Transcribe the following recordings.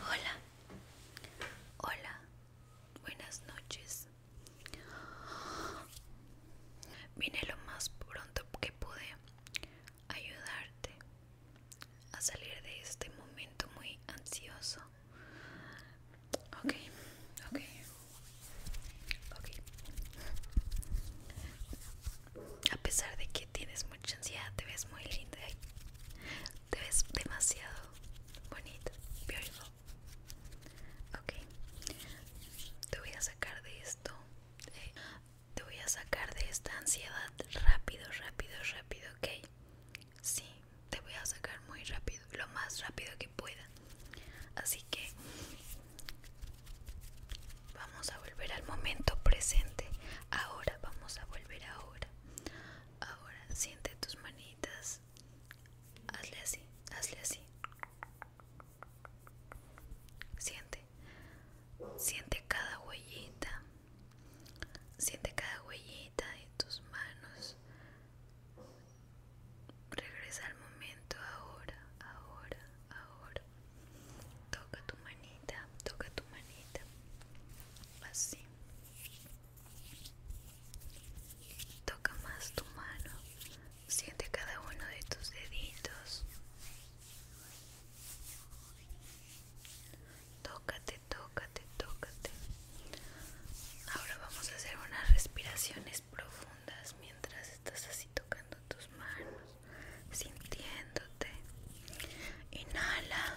Hola, hola, buenas noches. Vine lo más pronto que pude ayudarte a salir de este momento muy ansioso. Ok, ok, ok a pesar de que tienes mucha ansiedad, te ves muy linda, te ves demasiado bonita, Ok, te voy a sacar de esto, eh, te voy a sacar de esta ansiedad rápido, rápido, rápido, ok. Sí, te voy a sacar muy rápido, lo más rápido que pueda. Así que vamos a volver al momento presente ahora vamos a volver ahora. Ahora siente tus manitas. Hazle así, hazle así. Siente. Siente cada huellita. Siente cada huellita de tus manos. Regresa al momento ahora, ahora, ahora toca tu manita, toca tu manita, así, toca más tu mano, siente cada uno de tus deditos, tócate, tócate, tócate. Ahora vamos a hacer unas respiraciones profundas mientras estás así tocando tus manos sintiéndote. Inhala,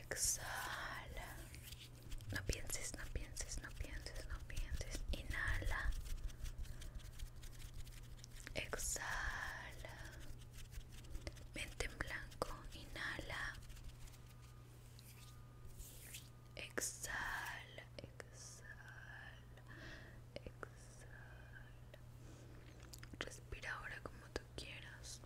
exhala. No pienses, no pienses, no pienses, no pienses. Inhala, exhala. Mente en blanco, inhala. Exhala, exhala, exhala, Respira ahora como tú quieras.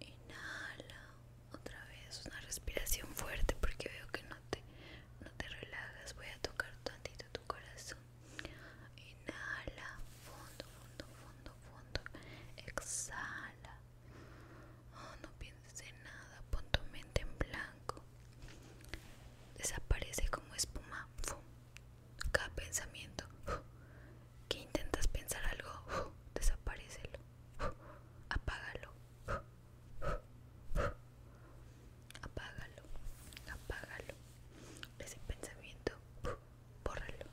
Inhala otra vez una respiración fuerte porque veo que no te, no te relajas. Voy a tocar tantito tu corazón. Inhala, fondo, fondo, fondo, fondo. Exhala. Oh, no pienses en nada, pon tu mente en blanco. Desaparece como espuma cada pensamiento. Que intentas pensar algo, ¡Fu! desaparecelo, apágalo, apágalo, apágalo. Ese pensamiento, Borralo bórralo.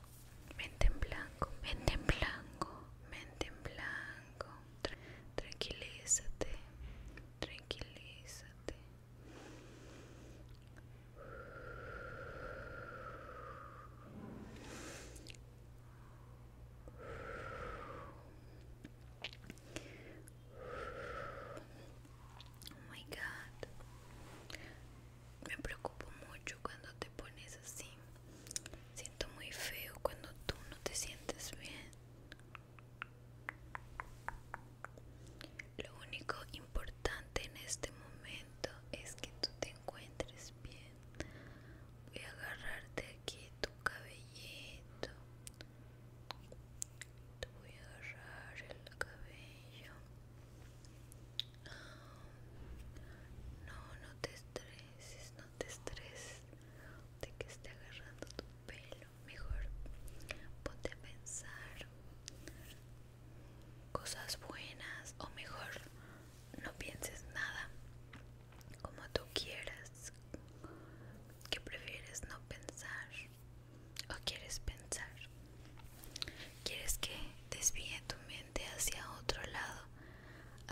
Mente en blanco, mente en blanco, mente en blanco. Tranquilízate, tranquilízate Oh my god. Me preocupo mucho cuando te pones así. Siento muy feo cuando tú no te sientes bien. Lo único importante en este momento es que tú te encuentres bien. Voy a agarrarte aquí tu cabellito. Te voy a agarrar el cabello. No, no te estreses, no te estreses de que esté agarrando tu pelo mejor ponte a pensar cosas buenas o mejor no pienses nada como tú quieras que prefieres no pensar o quieres pensar quieres que desvíe tu mente hacia otro lado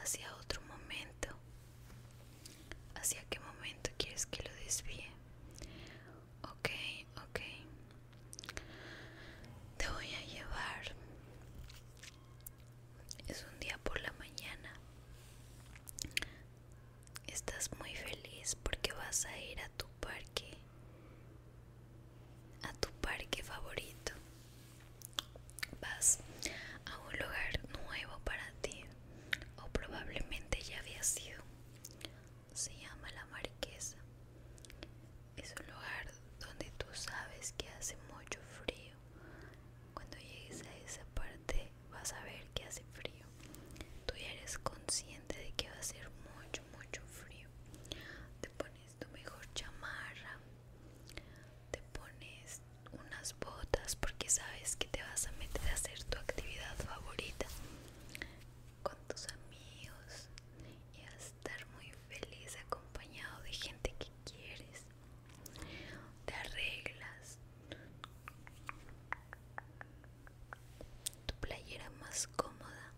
hacia otro momento ¿Hacia qué momento quieres que lo desvíe? Ok, ok. Te voy a llevar. Es un día por la mañana. Estás muy feliz porque vas a ir a tu parque. A tu parque favorito. Vas a un lugar nuevo para ti o probablemente ya había sido. Se llama La Marquesa. Es un lugar donde tú sabes que hace mucho frío. Cuando llegues a esa parte vas a ver que hace frío. Tú ya eres consciente de que va a ser mucho, mucho frío. Te pones tu mejor chamarra. Te pones unas botas porque sabes que te vas a meter a hacer tu actividad favorita con tus amigos y a estar muy feliz acompañado de gente que quieres. Te arreglas tu playera más cómoda,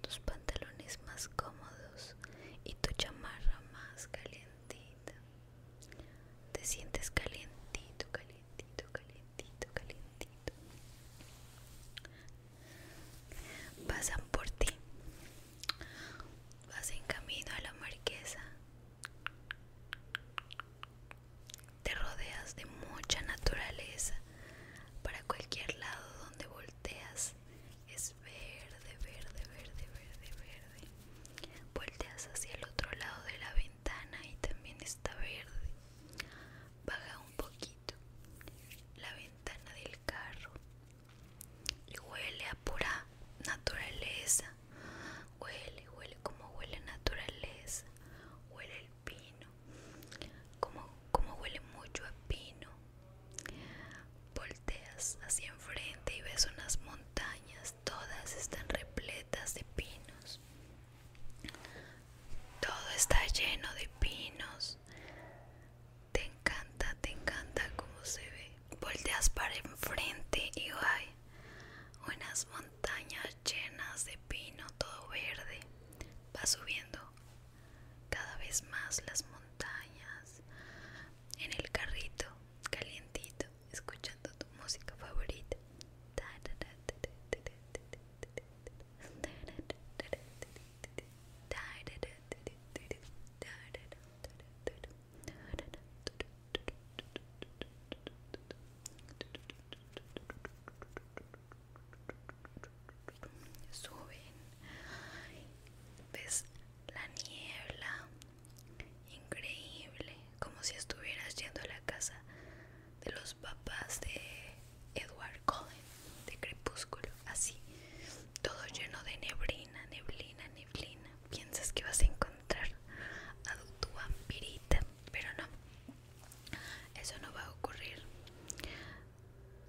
tus pantalones más cómodos y tu chamarra más calientita. Te sientes calientito, calientito, calientito, calientito. Pasan por ti. Vas en camino a la marquesa. Te rodeas de mucha naturaleza. Para cualquier lado donde volteas es verde, verde, verde, verde, verde. Volteas hacia el otro lado de la avenida y también está verde. Baja un poquito la ventana del carro y huele a pura naturaleza. Huele, huele como huele naturaleza. Huele el pino, como, como huele mucho a pino. Volteas hacia enfrente y ves unas montañas todas están repletas de pinos. Todo está lleno de pinos. Te encanta, te encanta cómo se ve. Volteas para enfrente y hay unas montañas llenas de pino, todo verde. Va subiendo cada vez más las montañas en el carrito calientito. escuchando tu música favorita. Suben, ves la niebla, Increíble, como si estuvieras yendo a la casa de los papás de Edward Cullen, de Crepúsculo, así, todo lleno de neblina, neblina, neblina. Piensas que vas a encontrar a tu vampirita, pero no, eso no va a ocurrir.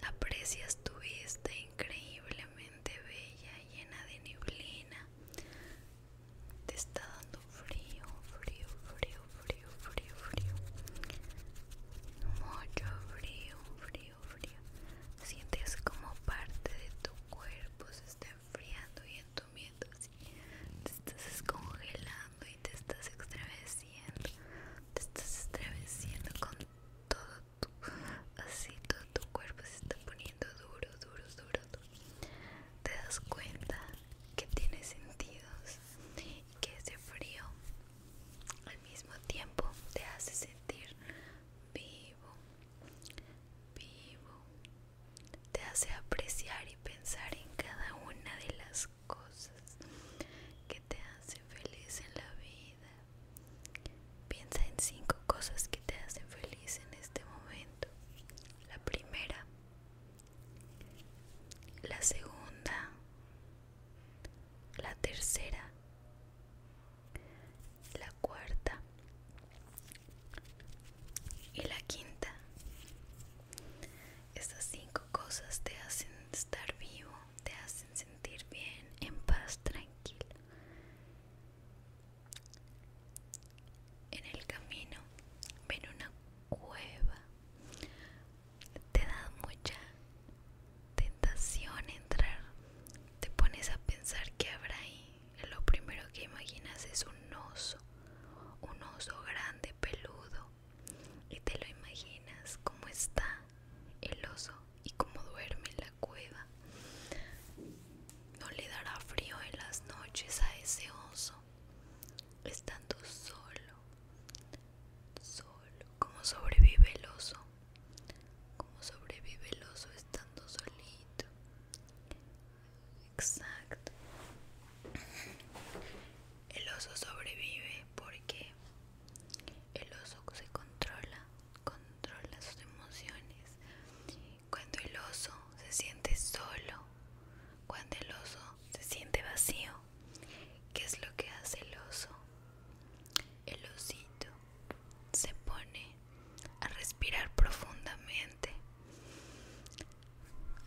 Aprecias tu vista increíblemente bella, llena de neblina te está dando frío, frío, frío, frío, frío, frío. Mucho frío, frío, frío. Sientes como parte de tu cuerpo se está enfriando y entumiendo así. Te estás descongelando y te estás extraveciendo. Te estás extraveciendo con todo tu así todo tu cuerpo se está poniendo duro, duro, duro, te das cuenta que tienes sentidos y que ese frío al mismo tiempo te hace sentir vivo, vivo, te hace apreciar y pensar en cada una de las cosas que te hacen feliz en la vida. Piensa en cinco cosas que te hacen feliz en este momento la primera, la segunda, la tercera, la cuarta y la quinta. Estas cinco cosas te hacen estar vivo, te hacen sentir bien, en paz, tranquilo. En el camino ven una cueva. Te da mucha tentación entrar. Te pones a pensar que habrá ahí. Lo primero que imaginas es un oso. Un oso grande, peludo. Y te lo imaginas cómo está el oso y cómo duerme en la cueva. No le dará frío en las noches a ese oso, estando solo, solo. ¿Cómo sobrevive el oso? ¿Cómo sobrevive el oso estando solito? Exacto. El oso sobrevive porque el oso se controla, controla sus emociones cuando el oso se siente solo, cuando el oso se siente vacío, ¿qué es lo que hace el oso? El osito se pone a respirar profundamente,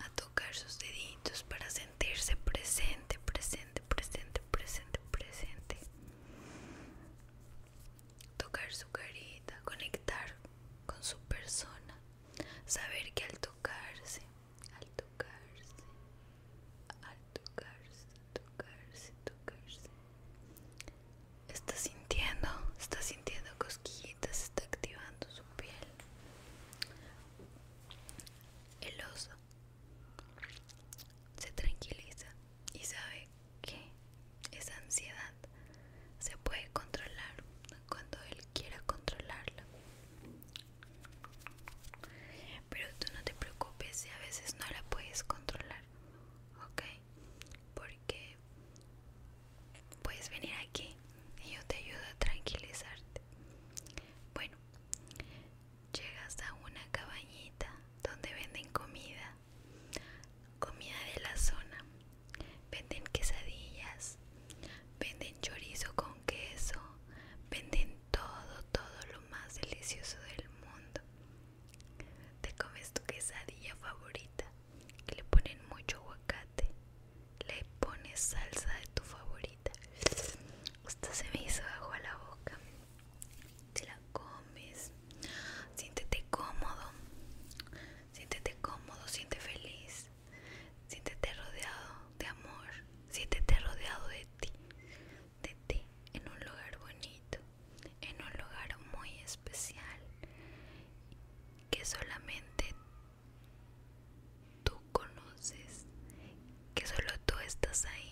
a tocar sus deditos para sentirse presente, presente, presente, presente, presente tocar su carita, conectar con su persona, saber que al tocarse, al tocarse, al tocarse, tocarse, tocarse, está sintiendo, está sintiendo cosquillitas, está activando su piel. El oso se tranquiliza y sabe que esa ansiedad se puede controlar cuando él quiera controlarla. Pero tú no te preocupes si a veces no la puedes controlar, ¿ok? Porque puedes venir aquí y yo te ayudo a tranquilizarte. Bueno, llegas a una cabañita donde venden comida, comida de la zona venden quesadillas, venden chorizo con queso, venden todo, todo lo más delicioso del mundo. Te comes tu quesadilla favorita, le ponen mucho aguacate, le pones salsa de tu favorita. Usted se me hizo bajo a la boca. Te la comes, siéntete cómodo siéntete cómodo, siéntete feliz, siéntete rodeado de amor, siéntete rodeado de ti, de ti, en un lugar bonito, en un lugar muy especial, que solamente tú conoces, que solo tú estás ahí.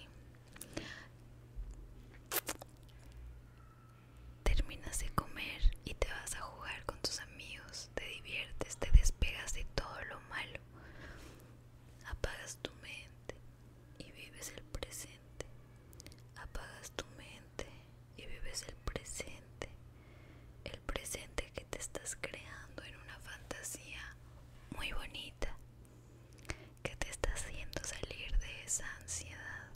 Terminas de comer y te vas a jugar con tus amigos, te diviertes, te despegas de todo lo malo, apagas tu mente y vives el presente, apagas tu mente y vives el presente, el presente que te estás creando en una fantasía muy bonita que te está haciendo salir de esa ansiedad